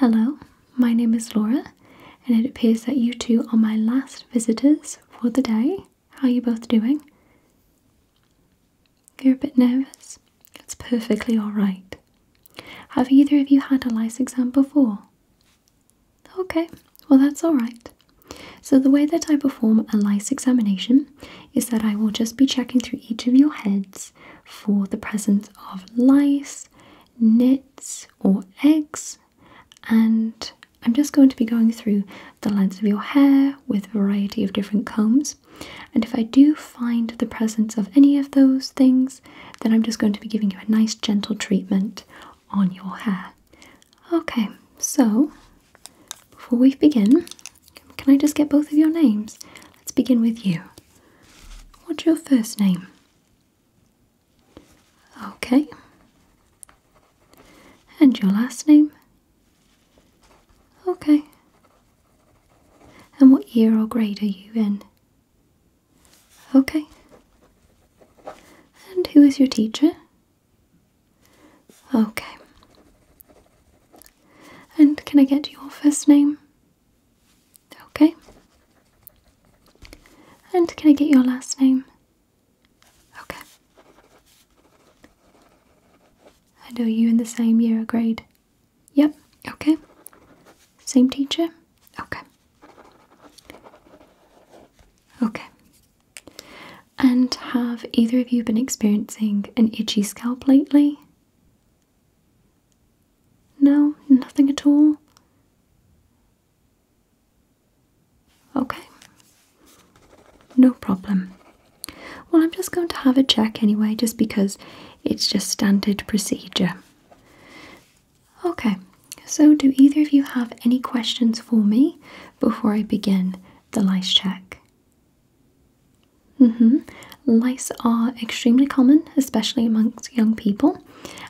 Hello, my name is Laura, and it appears that you two are my last visitors for the day. How are you both doing? You're a bit nervous? It's perfectly alright. Have either of you had a lice exam before? Okay, well, that's alright. So, the way that I perform a lice examination is that I will just be checking through each of your heads for the presence of lice, knits or eggs and I'm just going to be going through the lengths of your hair with a variety of different combs and if I do find the presence of any of those things then I'm just going to be giving you a nice gentle treatment on your hair. Okay so before we begin can I just get both of your names? Let's begin with you. What's your first name? Okay. And your last name? Okay. And what year or grade are you in? Okay. And who is your teacher? Okay. And can I get your first name? Okay. And can I get your last name? Okay. And are you in the same year or grade? Yep, okay. Same teacher? Okay. Okay. And have either of you been experiencing an itchy scalp lately? No, nothing at all. Okay. No problem. Well, I'm just going to have a check anyway, just because it's just standard procedure. Okay, so do either of you have any questions for me before I begin the lice check? Mm hmm. Lice are extremely common, especially amongst young people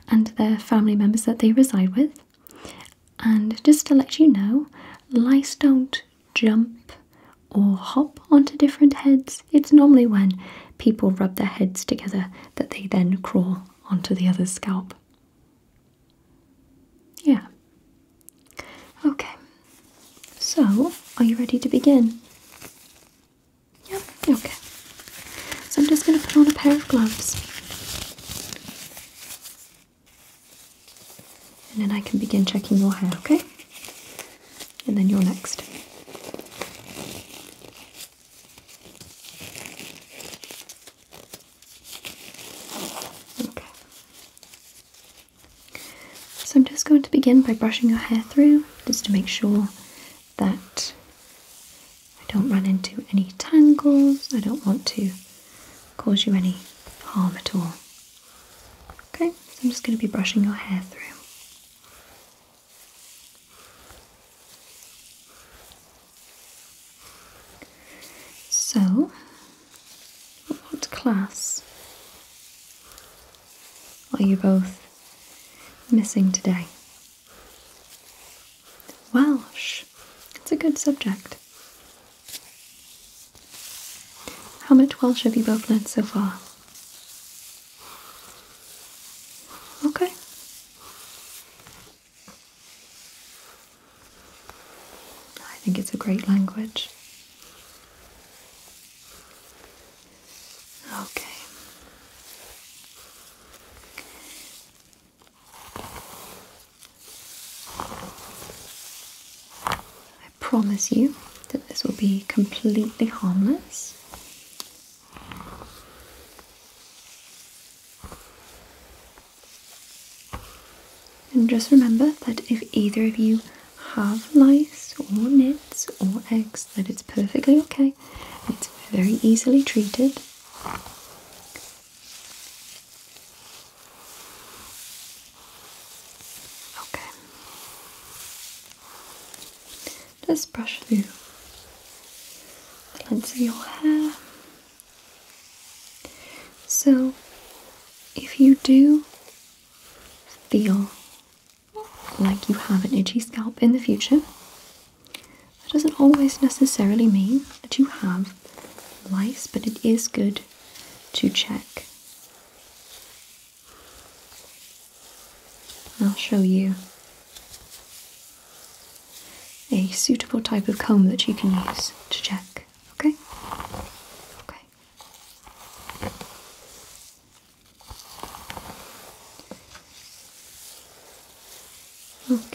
and their family members that they reside with. And just to let you know, lice don't jump or hop onto different heads. It's normally when people rub their heads together that they then crawl onto the other's scalp. Yeah. Okay, so are you ready to begin? Yep, okay. So I'm just going to put on a pair of gloves. And then I can begin checking your hair, okay? And then you're next. Okay. So I'm just going to begin by brushing your hair through just to make sure that I don't run into any tangles, I don't want to cause you any harm at all. Okay, so I'm just going to be brushing your hair through. So, what class are you both missing today? Welsh. It's a good subject. How much Welsh have you both learned so far? Okay. I think it's a great language. Okay. I promise you that this will be completely harmless. And just remember that if either of you have lice or nits or eggs, that it's perfectly okay it's very easily treated. Okay. Just brush through the length your hair. So, if you do feel like you have an itchy scalp in the future. That doesn't always necessarily mean that you have lice, but it is good to check. I'll show you a suitable type of comb that you can use to check. Okay? Okay. Okay. Then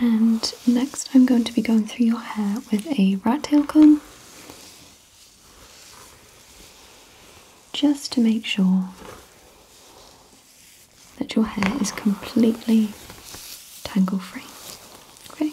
and next, I'm going to be going through your hair with a rat tail comb just to make sure that your hair is completely tangle free. Okay?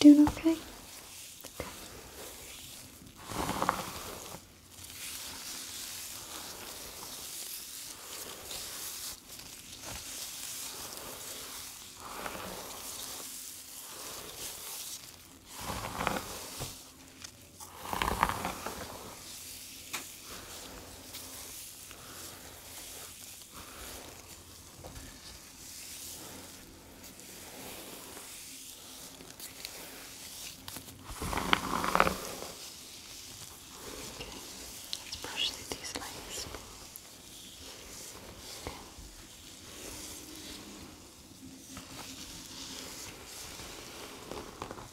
Doing Okay. Okay, let's brush through these lines. Okay. Okay.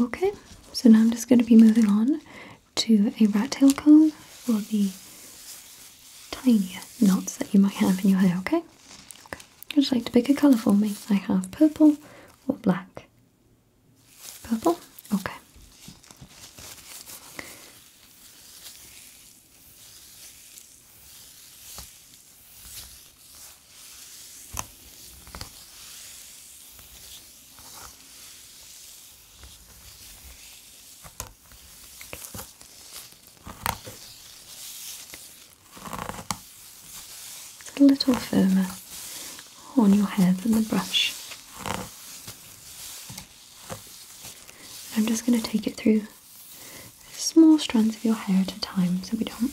Okay, so now I'm just going to be moving on to a rat tail comb for the Tiny knots that you might have in your hair, okay? Okay. Would you like to pick a colour for me? I have purple or black. Purple? Okay a little firmer on your hair than the brush. I'm just going to take it through small strands of your hair at a time so we don't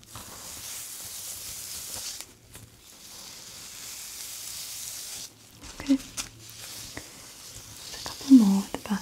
Okay. a couple more at the back.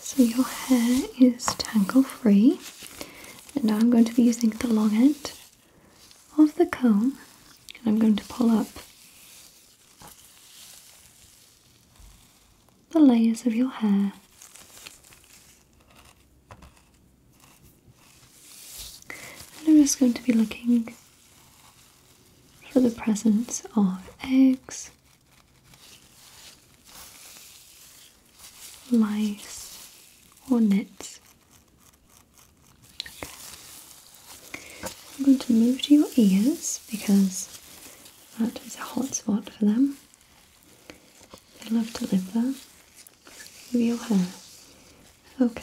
So your hair is tangle free, and I'm going to be using the long end of the comb, and I'm going to pull up the layers of your hair. And I'm just going to be looking for the presence of eggs lice or nits. I'm going to move to your ears because that is a hot spot for them. They love to live there. Move your hair. Okay.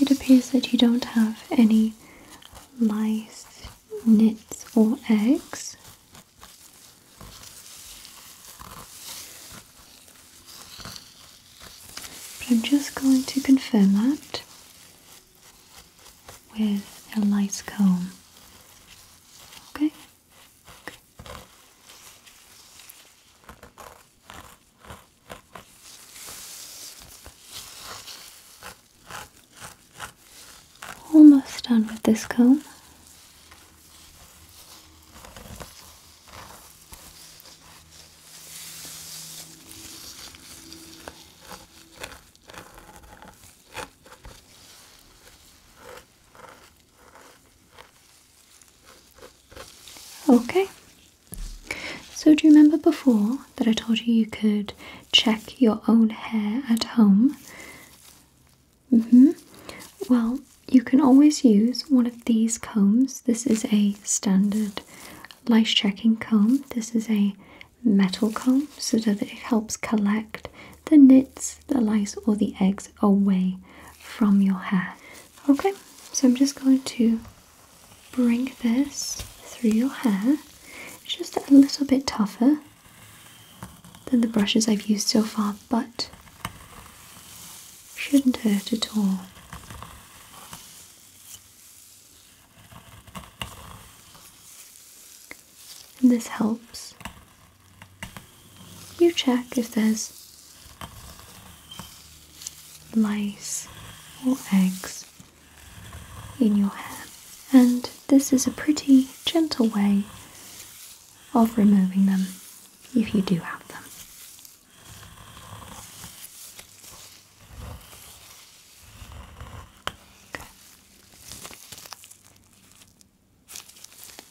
It appears that you don't have any lice, nits, or eggs. But I'm just going to confirm that with a lice comb. okay. Almost done with this comb. Okay. So, do you remember before that I told you you could check your own hair at home? hmm. Well, you can always use one of these combs. This is a standard lice checking comb. This is a metal comb so that it helps collect the nits, the lice, or the eggs away from your hair. Okay, so I'm just going to bring this through your hair. It's just a little bit tougher than the brushes I've used so far, but shouldn't hurt at all. And this helps you check if there's lice or eggs in your hair. And this is a pretty gentle way of removing them if you do have them.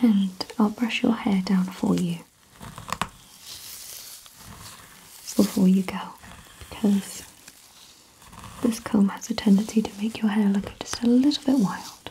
And I'll brush your hair down for you before you go because this comb has a tendency to make your hair look just a little bit wild.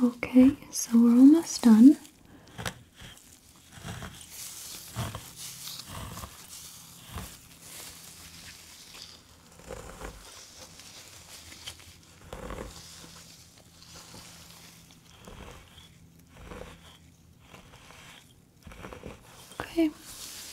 Okay, so we're almost done. Okay,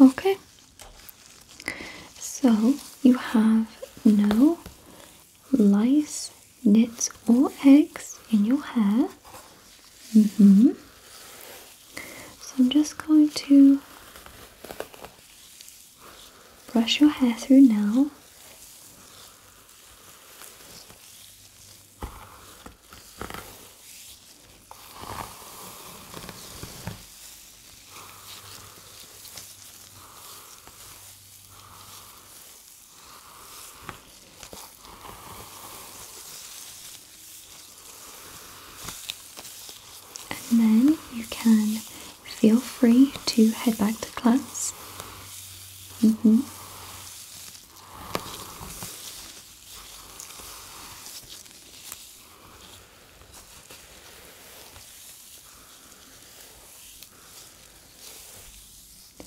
Okay, so you have no lice, nits, or eggs in your hair. Mm-hmm. So I'm just going to brush your hair through now. And then you can feel free to head back to class. Mm-hmm.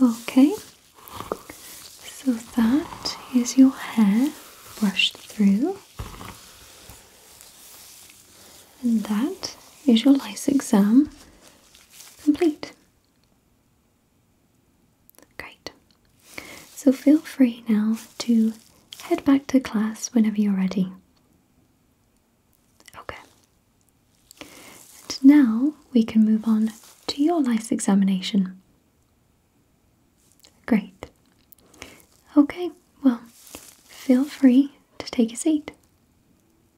Okay, so that is your hair brushed through, and that is your lice exam complete. Great. So feel free now to head back to class whenever you're ready. Okay. And now we can move on to your lice examination. Great. Okay, well, feel free to take a seat.